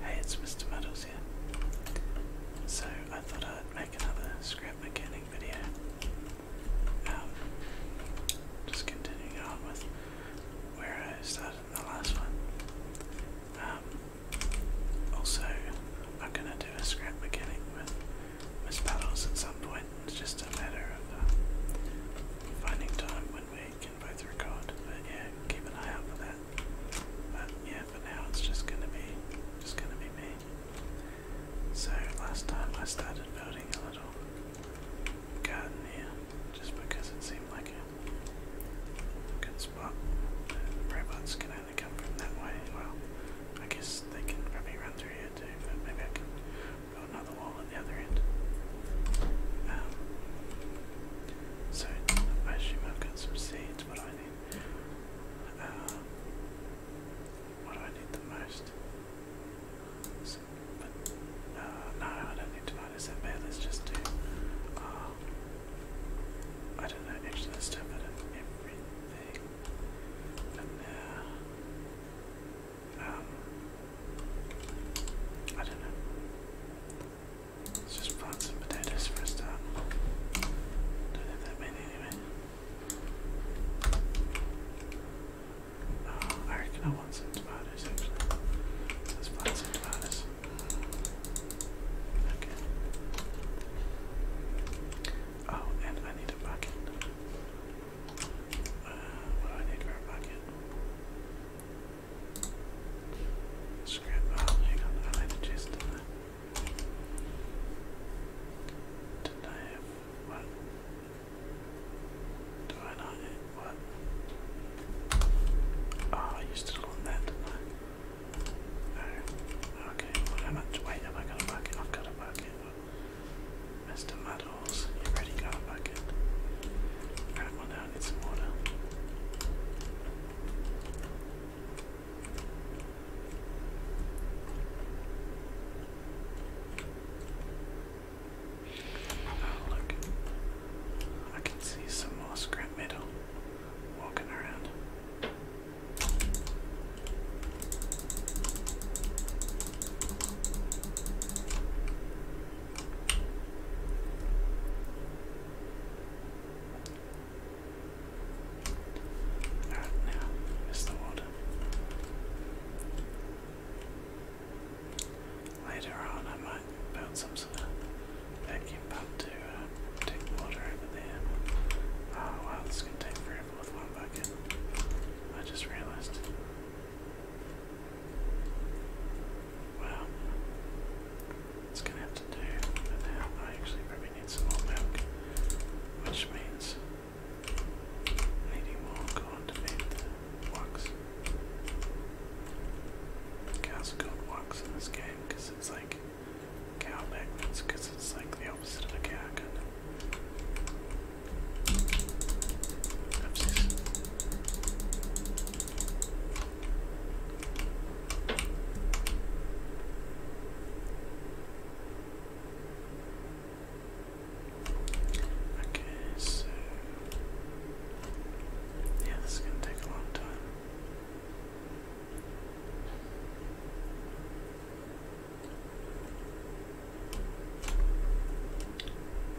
Hey, it's Mr. Muddles here. So I thought I'd make another scrap mechanic video. Um, just continuing on with where I started in the last one. Um, also, I'm gonna do a scrap with Miss Puddles at some point. It's just a matter of uh, finding time when we both record, but yeah, keep an eye out for that. But yeah, for now it's just gonna be just gonna be me. So last time I started building a little garden here, just because it seemed like a good spot. robots can only come from that way. Well, I guess they can probably run through here too, but maybe I can build another wall at the other end. Um, so I I've got some seeds, what do I need? Uh, what do I need the most? So, but, uh, no, I don't need tomatoes that bad, let's just do, uh, I don't know, actually let's do a bit everything, but now, um, I don't know. Let's just plant some potatoes first a Don't have that many anyway. Oh, I I want some tomatoes actually. Let's plant some tomatoes. Mm. Okay. Oh, and I need a bucket. Uh, what do I need for a bucket? Scrap hang on, I had a chest in I have what? Do I not what? Oh, I used it on that, No. Oh, okay, how much weight have I got a bucket? I've got a bucket. Mr. Muddles, you've already got a bucket. Alright, well now I some water. Oh, look. I can see some more scrap metal walking around now is the water. Later on, I might build some sort of vacuum pump to uh, take water over there. Oh wow, this can take forever with one bucket. I just realized. Well, it's gonna have to do with that. I actually probably need some more milk, which means needing more corn to feed the woks. The cows in this game it's like cow backwards, it's like the opposite of a cow, Okay, so yeah, this is gonna take a long time.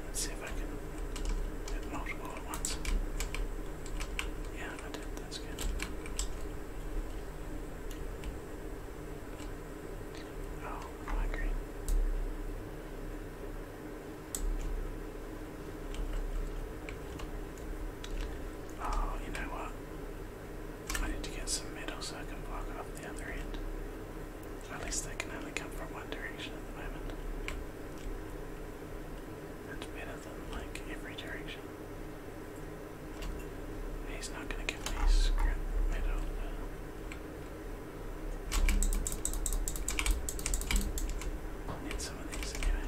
Let's see if I can get it multiple at once. Yeah, that's good. Oh, I'm Oh, you know what? I need to get some metal so I can block off the other end. At least they can only come from one direction moment. That's better than like every direction. He's not gonna give me script middle. Need some of these anyway.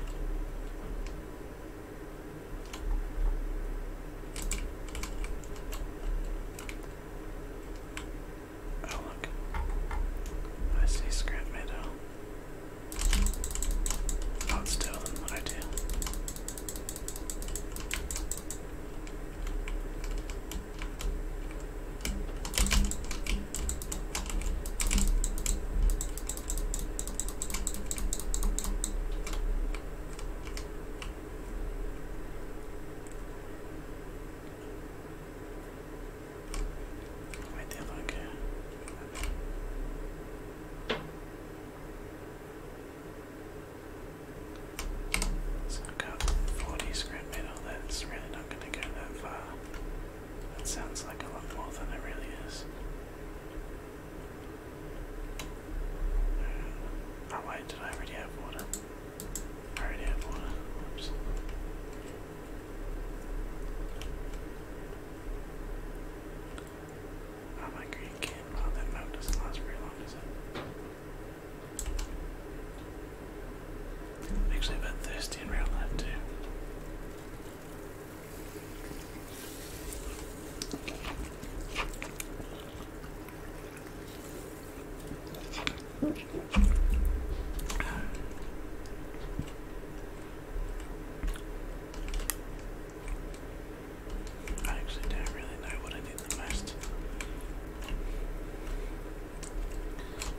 Oh look. I see scrap metal. I'll tell them what I do. Wait, the other uh, so I've got 40 square meter, that's really not going to go that far. That sounds like a lot more than it really is. Uh, oh wait, did I already have water? I already have water. Oops. Oh, my green can. Wow, that mount doesn't last very long, does it? I'm actually thirsty and round left, too. I actually don't really know what I need the most.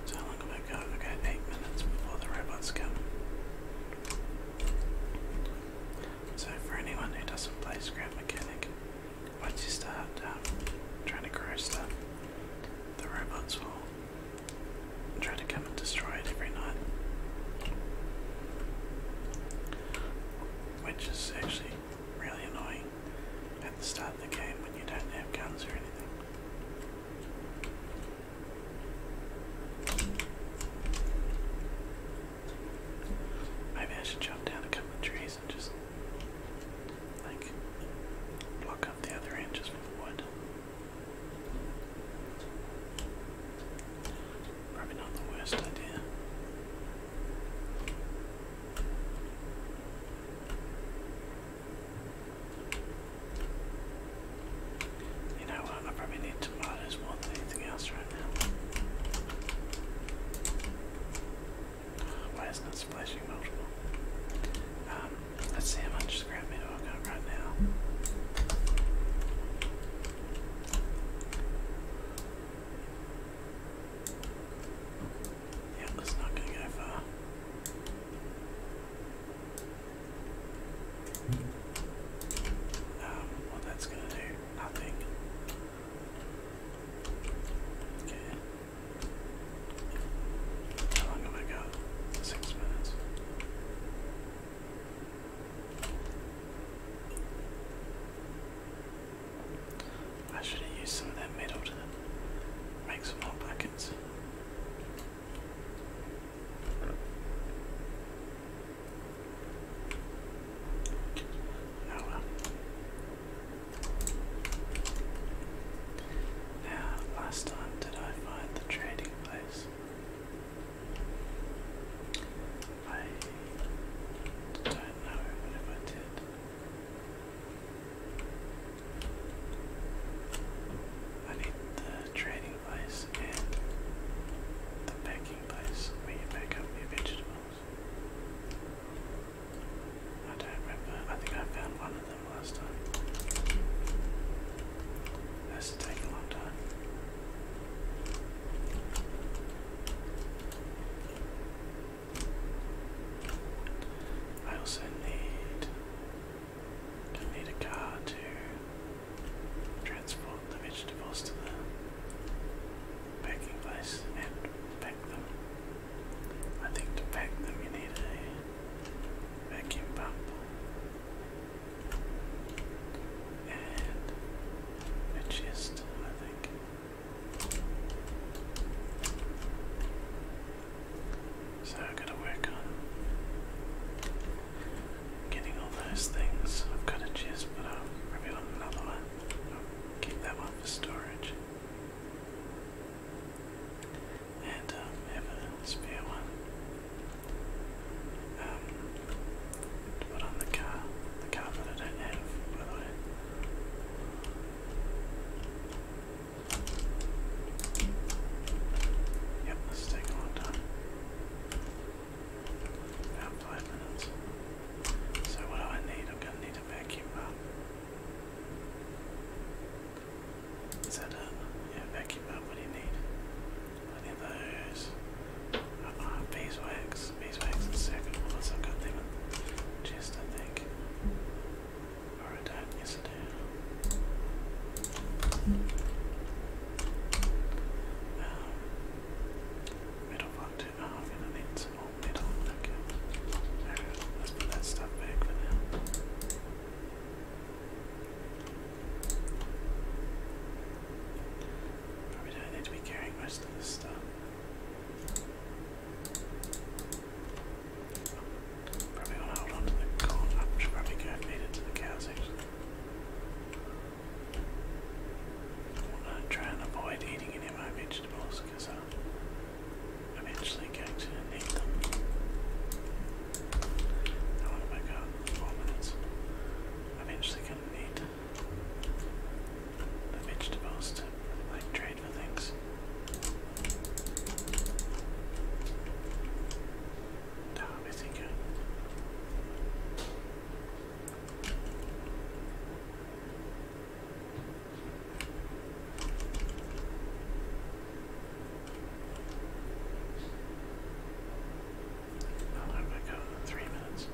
So how long have I got? eight minutes before the robots come. So for anyone who doesn't play Scrap Mechanic, once you start um, trying to grow stuff, the robots will try to come and destroy it every night. Which is actually really annoying at the start of the game when you don't have guns or anything. Maybe I should jump down a couple of trees and just like block up the other end just with wood. Probably not the worst idea. You know what? I probably need tomatoes more than anything else right now. Why isn't it splashing multiple? Um, let's see how much scrap metal I've got right now. Yeah, that's not gonna go far. Um, what that's gonna do? Nothing. Okay. How long have I got? Six minutes. I should have used some of that metal to make some more buckets. Oh, now, last time did I find the trading place? I don't know, what if I did? I need the trading place and the packing place where you pick up your vegetables. I don't remember. I think I found one of them last time. That's taking a long time. I also need going need a car to transport the vegetables to the packing place and pack them. I think to pack them you need a vacuum pump and a chest, I think. So I've got to work on getting all those things. I've got a chest, but I'll probably on another one. I'll keep that one for storage. And um, have a spare one to put on the car, the car that I don't have, Yep, this is taking a long time. About five minutes. So what do I need? I'm gonna need a vacuum bar. Is that Yeah, vacuum bar, what do you need? Any of those? Uh, beeswax. Beeswax the second one. That's a good thing. Just I think. Or I do I do. Um, one, two. Oh, I'm gonna need some more metal. Okay. Alright, let's put that stuff back for now. Probably don't need to be carrying most of this stuff. Probably want to hold on the corn. I should probably go and feed it to the cows actually. I want to try and avoid eating any of my vegetables because I'm eventually going to need them. I want to four minutes. eventually going to need the vegetables to like trade for things. That would be thinking. How long have I got? Three minutes.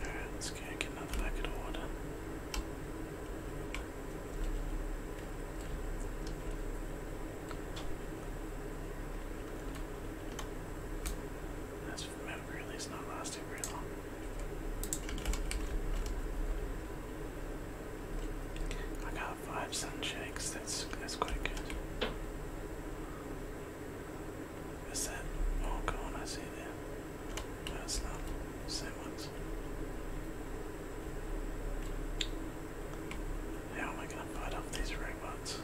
Alright, let's go get another bucket of water. That's milk is not lasting very long. I got five sunshakes. That's that's quite good. Is that all gone? I see there. No, not. Same ones. How am I gonna fight off these robots?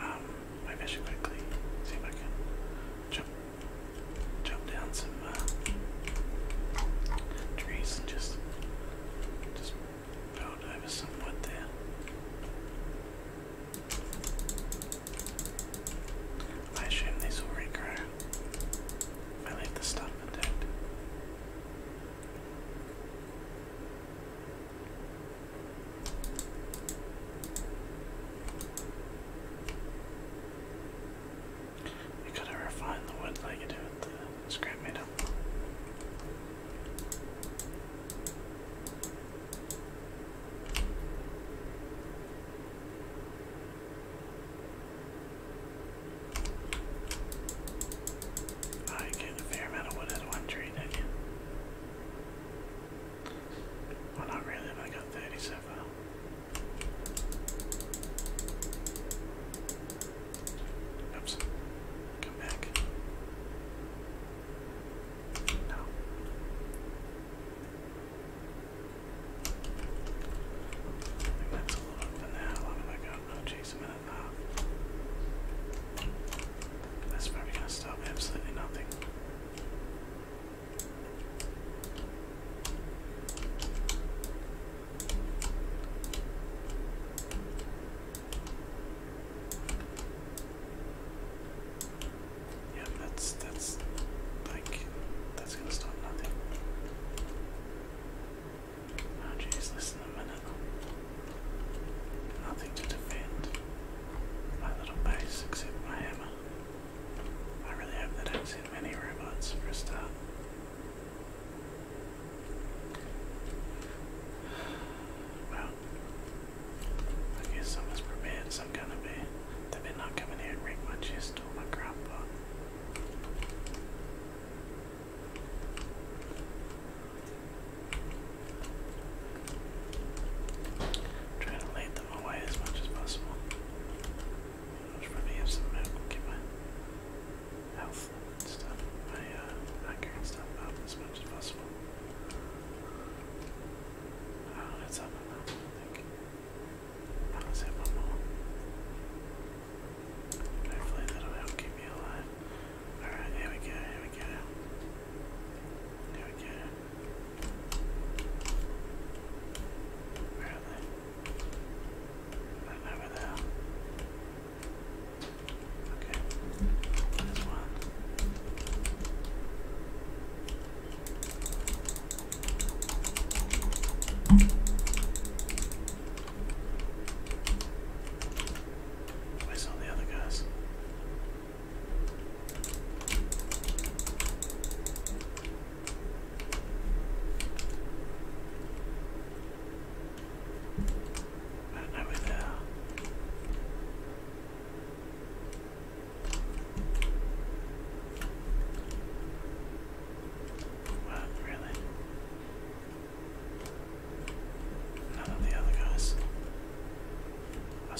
Um, my vision quickly. See if I can jump jump down some uh, trees and just just build over some wood there. I assume these will regrow I leave the stuff intact. We could to refine the wood like you do it. scrap made I get a fair amount of wood out one tree, well, not really, I got 30 Oops. Come back. No. that's a lot for now. How long have I got? Oh, a minute and a half. That's probably going to stop absolutely nothing. Yeah, that's that's like that's gonna stop nothing. Oh jeez, listen a minute. Nothing to defend. My little base except my hammer. I really hope they don't send many robots first a Well, I guess I was prepared, so i gonna be. They better not come here and wreck my chest or my crop pot. to away as much as possible. I should probably have some health stuff, my uh, stuff up as much as possible. Oh, that's up enough, I think. i just have one more. Hopefully that'll help keep me alive. Alright, here we go, here we go. There we go. Where are they? Right over there. Okay. There's one. I saw the other guys. And over there. Well, really. None of the other guys.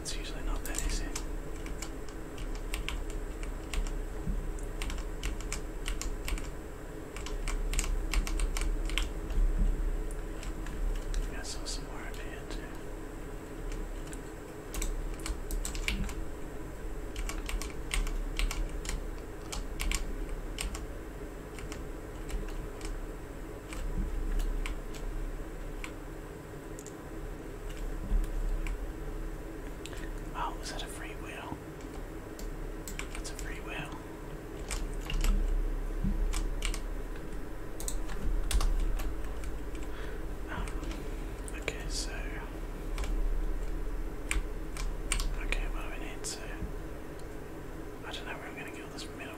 It's usually not that easy. I think I saw some more up here Oh, is that a free wheel? That's a free wheel. Um, okay, so. Okay, what do we need? So. I don't know where I'm gonna get this middle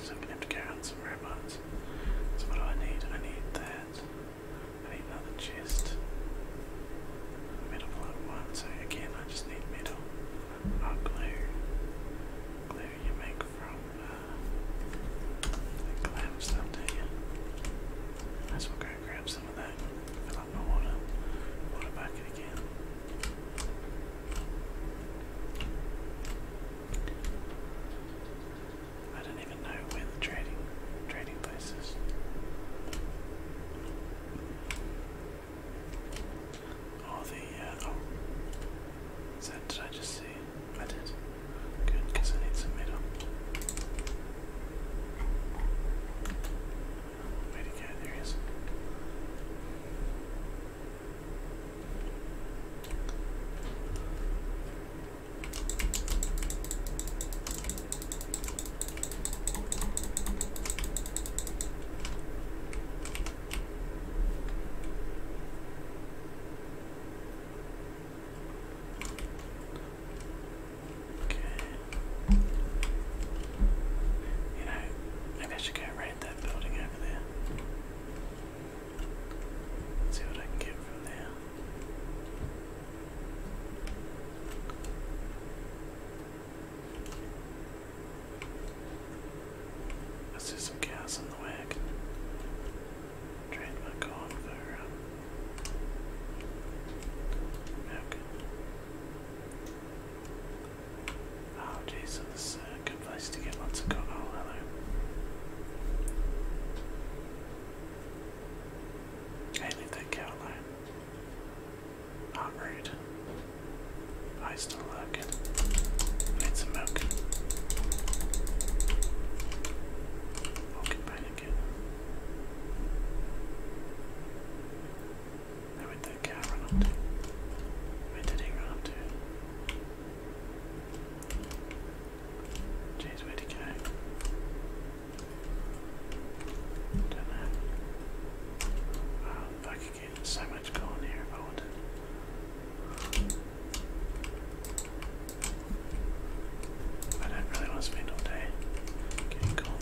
so I'm gonna have to carry on some robots. So what do I need? I need that. I need another chest. Metal block one. So again, I just need metal. Oh, glue. Glue you make from uh, the clam stuff, do you? Might as well grab some of that. Fill up my water. Water bucket again. I don't even know where the trading trading place is. Or oh, the uh, oh, is that did I just see? I did. Good, because I need some metal. Way to There is. Okay. You know, maybe I should go raid that building over there. Let's see what I get from there. I see some gas in the way. I can trade my corn for Oh, geez, place to get lots of cocoa. Hello. leave that cow alone. Not rude. I still look. I need some milk. I'll get again. Where that cow run Where did he run to? Jeez, where'd he go? Don't know. Wow, I could so much corn here if I don't really want to spend all day getting corn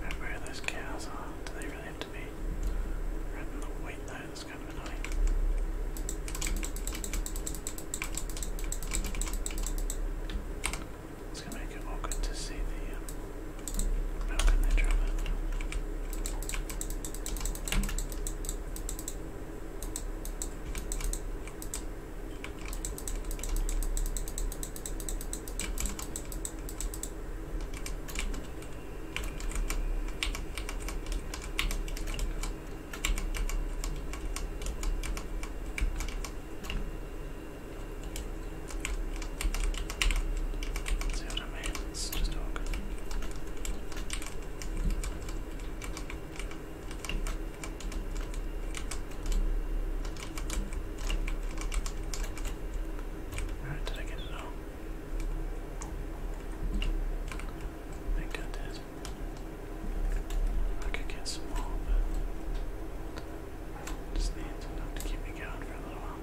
Right, where those cows are? Do they really have to be It's gonna make it awkward to see the um, milk in there, See what I mean? It's just all good. Alright, did I get it I think I did. I could get some more, but just need enough to keep me going for a little while.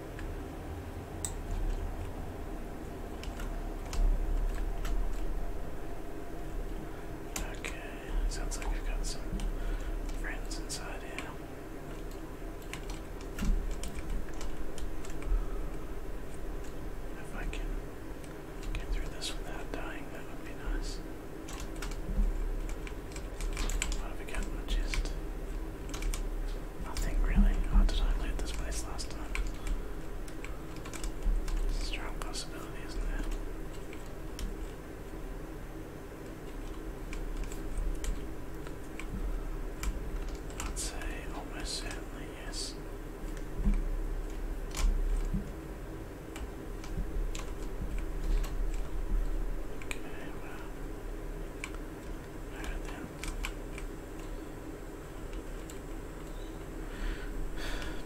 Okay, sounds like I've got some friends inside here. If I can get through this without dying, that would be nice. What have we got Nothing really. Oh, did I loot this place last time? It's a strong possibility, isn't it? I'd say almost certainly yes. Okay,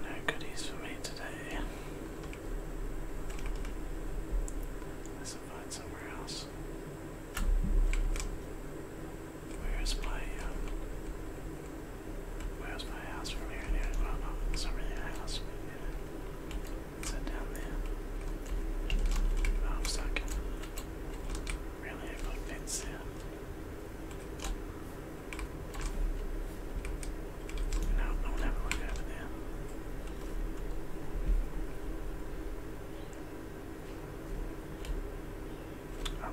no goodies for me today. Let's find somewhere else. Where is my um, where's my house from here and here? Well no, it's not house, but down there? Oh, I'm stuck. Really i no, I won't look over there. Oh,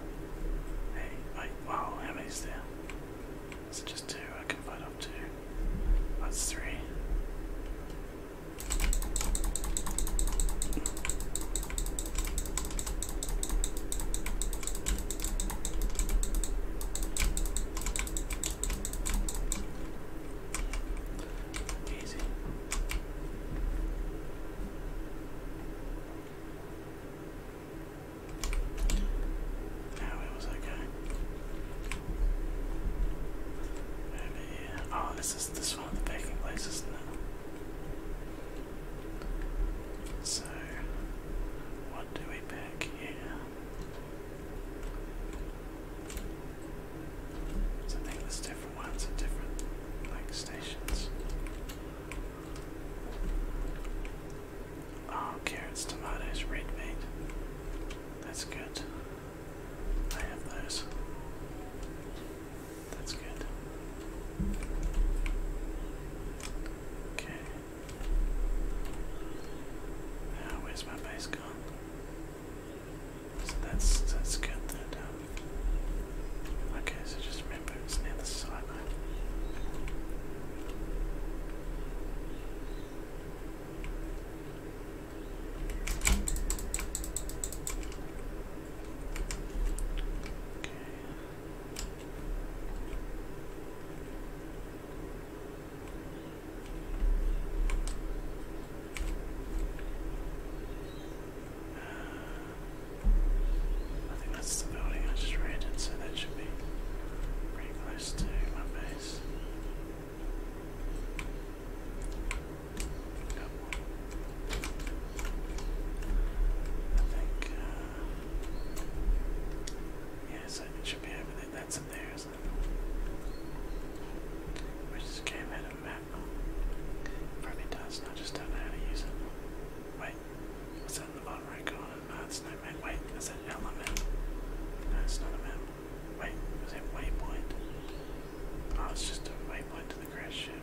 hey, wait, wow, how many's there? Is it just two? I can fight up two. That's three. Easy. Now it was okay. Over Oh, this is this one of the baking places now. So, what do we pick here? So I think there's different ones at different like stations. Oh, carrots, tomatoes, red meat. That's good. I have those. That's good. Okay. Oh, where's my base gone? So that's that's good that Okay, so just remember it's near the sideline. I think that's the building I just raided, so that should be pretty close to my base. Yeah, so it should be everything that's in there, isn't it? We just gave it a map. Probably does, I just don't know how to use it. Wait, what's that in the bottom right corner? No, it's map. Wait, is that element? No, not a map. Wait, was that waypoint? Oh, it's just a waypoint to the crash ship.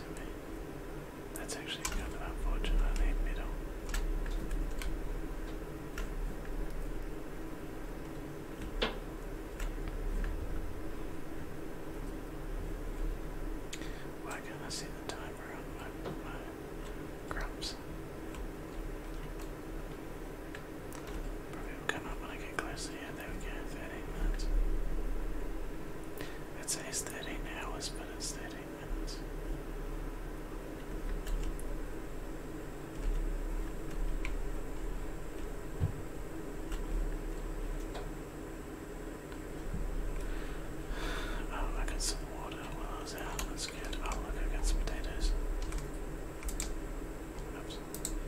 That's actually kind of unfortunate. middle. Why can't I see the timer on my, grumps? Probably will come up when I it says 13 hours but it's 13 minutes Oh, I got some water while I was out. That's good. Oh, look, I got some potatoes.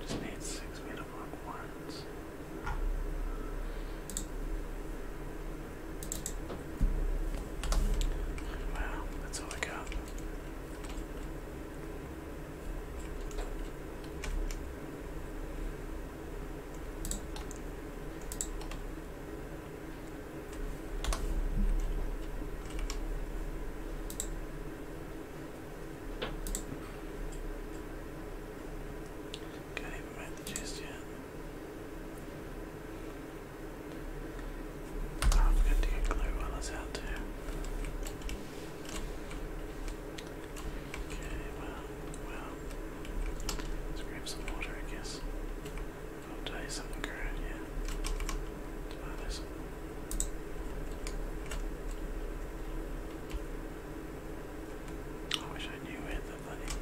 Just need six made of Wow, that's all I got can even make the yet. I'm going to get glue while out there. Okay, well, well. Let's grab some water, I guess. I'll tell something, girl, yeah. let buy this. I wish I knew where the money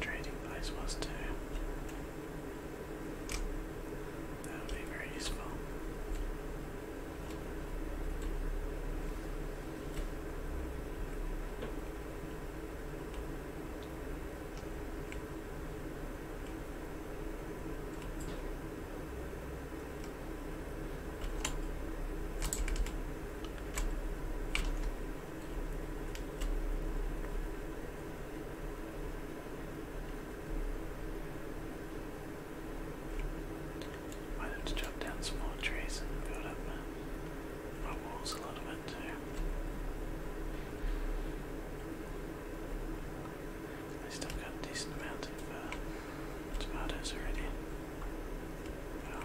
trading place was too. That would be very useful. Why don't chop down some more trees and build up uh, my walls a little bit too? I still got a decent amount of uh, tomatoes already. Well,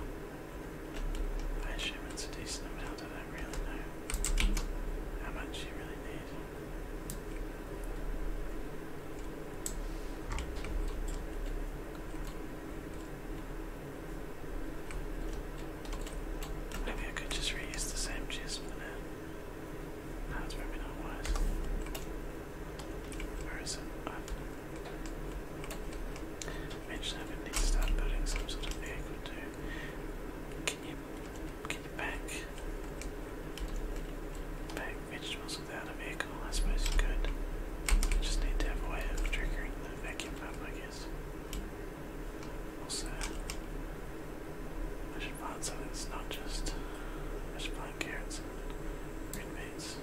I assume it's a decent amount. I don't really know how much you really need. Maybe I could just reuse the same chisel for now. No, it's not wise. Where is it? Uh, eventually, i to start building some sort of vehicle too. Can you can you pack pack vegetables without a vehicle? I suppose you could. just need to have a way of triggering the vacuum pump, I guess. Also, I should find something that's not just. I should find carrots and green beans this.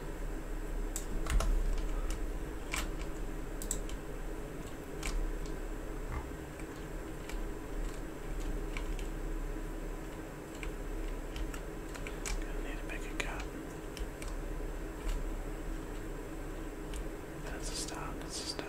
Gonna need to make a cut. That's a start, that's a start.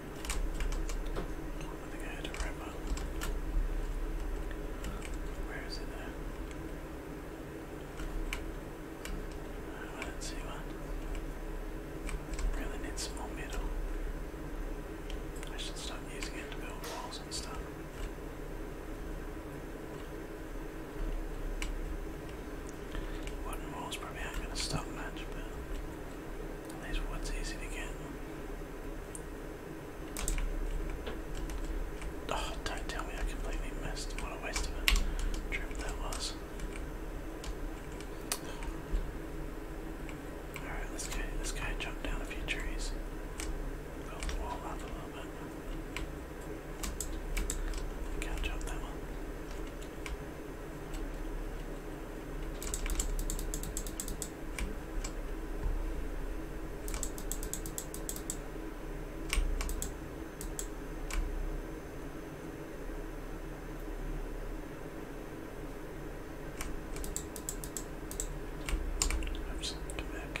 I think I had it right button. Where is it I didn't see one. Really needs some more metal. I should start using it to build walls and stuff. Wooden walls probably aren't going to stop much, but Nice wood's easy to get. Oh, don't tell me I completely missed. What a waste of a trip that was. Alright, let's go. This guy jumped down a few trees. Build the wall up a little bit. Can't that one. I'm just gonna get back.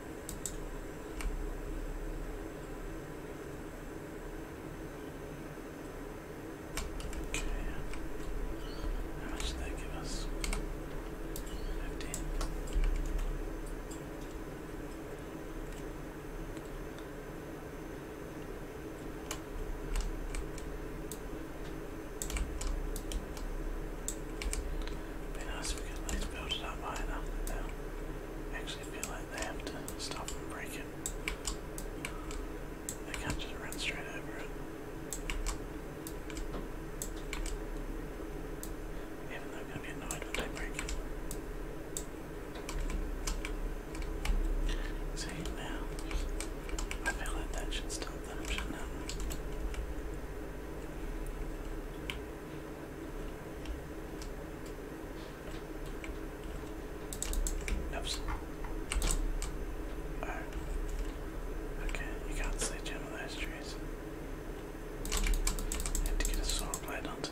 Okay. How much did that give us? Fifteen. Be nice we could build it up high now actually feel like they have stop and break it. can't just run straight over it. Even though I'm going to be annoyed when they break See, now, I feel like that should stop them, should Oops. Oh. Okay, you can't see down on those trees. I have to get a saw blade onto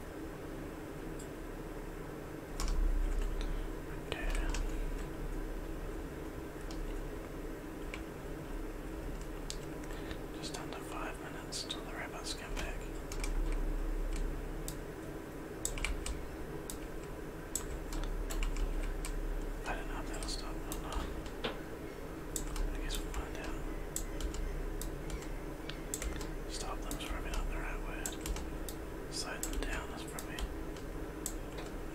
Okay. Just under five minutes till the robots come back. I don't know if that'll stop or not. I guess we'll find out. Stop them is probably not the right word. Slow them down is probably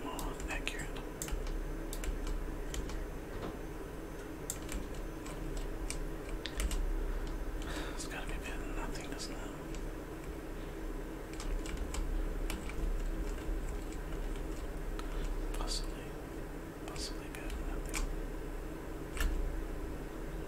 more accurate. It's gotta be better nothing, doesn't Possibly, possibly better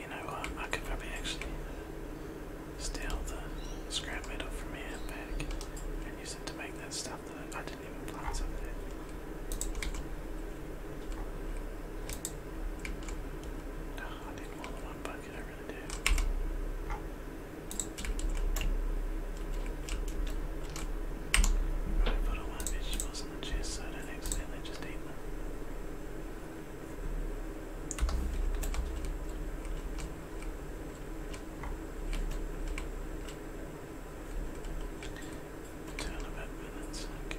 You know what? I could probably actually steal the scrap metal from here and and use it to make that stuff. I didn't even plant something. Oh, I need more than one bucket, I really do. Right, put all my vegetables in the chest so I don't accidentally just eat them. Ten about minutes, okay.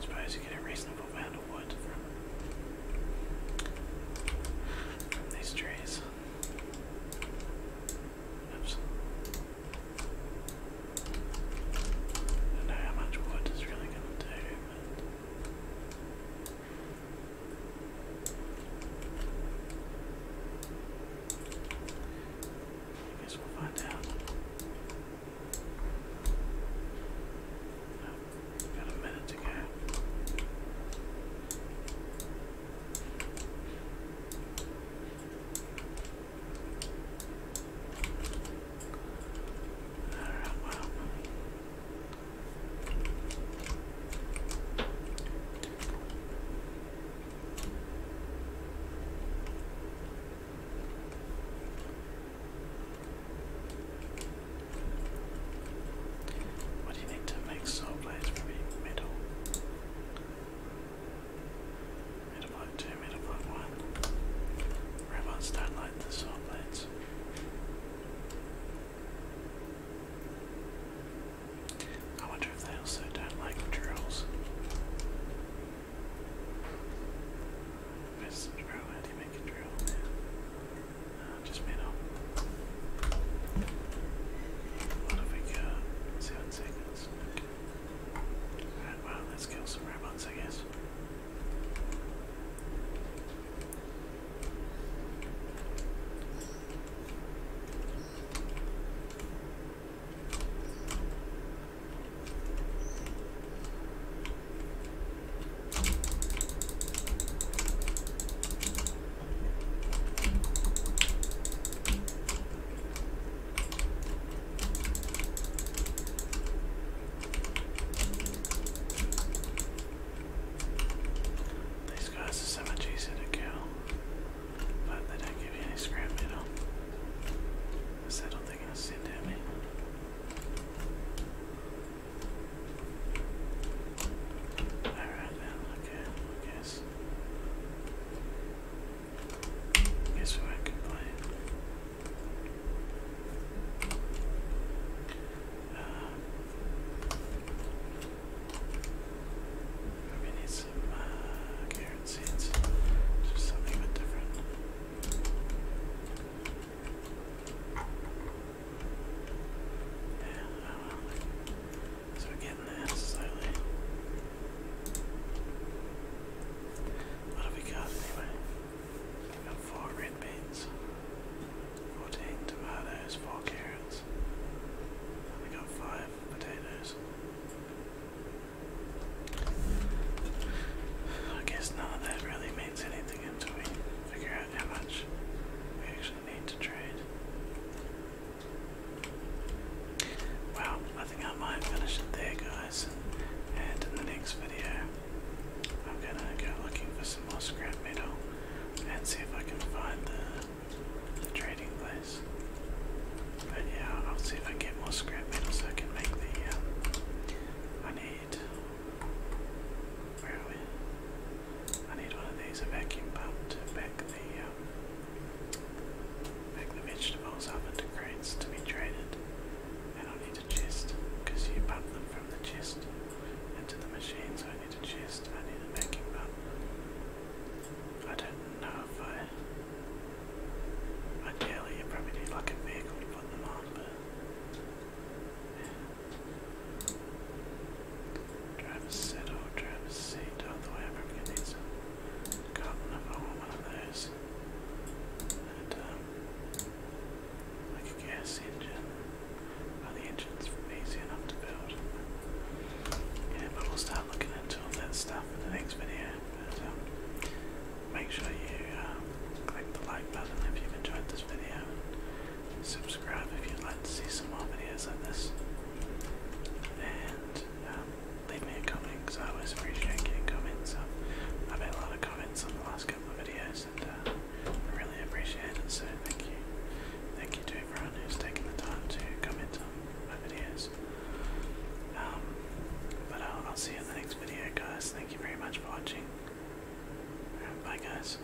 Suppose you get a reasonable amount of wood from these trees. Oops. I don't know how much wood is really gonna do, I guess we'll find out. Got a minute to go. Alright, what do you need to make soul blades? Maybe metal. Metal 2, metal 1. Robots don't like the saw blades. I wonder if they also don't like drills. Where's drill? How do you make a drill? just made up. What have we got? Seven seconds. Okay. well, let's kill some rabbits, I guess. These guys are so much easier to kill, but they don't give you any scrap metal. Is that all they're going to send at me? Alright okay, I guess. I guess we won't uh, maybe need some uh, Just something a bit different. So we're getting there slowly. What have we got anyway? We've got four red beans, 14 tomatoes, 4 carrots, and we got 5 potatoes. I guess none of that really means anything until we figure out how much we actually actually I think I might finish it there, guys. And in the next video, I'm gonna go looking for some more scrap metal and see if I can find the, trading place. But yeah, I'll see if I get more scrap metal so I can make the. Um, I need where are we? I need one of these, a vacuum pump to back the um, the vegetables up into crates to be traded. And I need a chest, because you pump them from the chest into the machine, so I need a chest, I need a vacuum pump. I don't know if I ideally you probably need like a vehicle to put them on, but Drive a set said, drive a seat all the way up from getting some goblin if I want one of those. And, um, like a gas engine. Well, the engines were easy enough to build. Yeah, but we'll start looking into all that stuff in the next video. But, um, make sure you um, click the like button if you enjoyed this video subscribe if you'd like to see some more videos like this, and um, leave me a comment because I always appreciate getting comments. Um, I've had a lot of comments on the last couple of videos, and uh, I really appreciate it. So thank you, thank you to everyone who's taken the time to comment on my videos. Um, but I'll see you in the next video, guys. Thank you very much for watching. Bye, guys.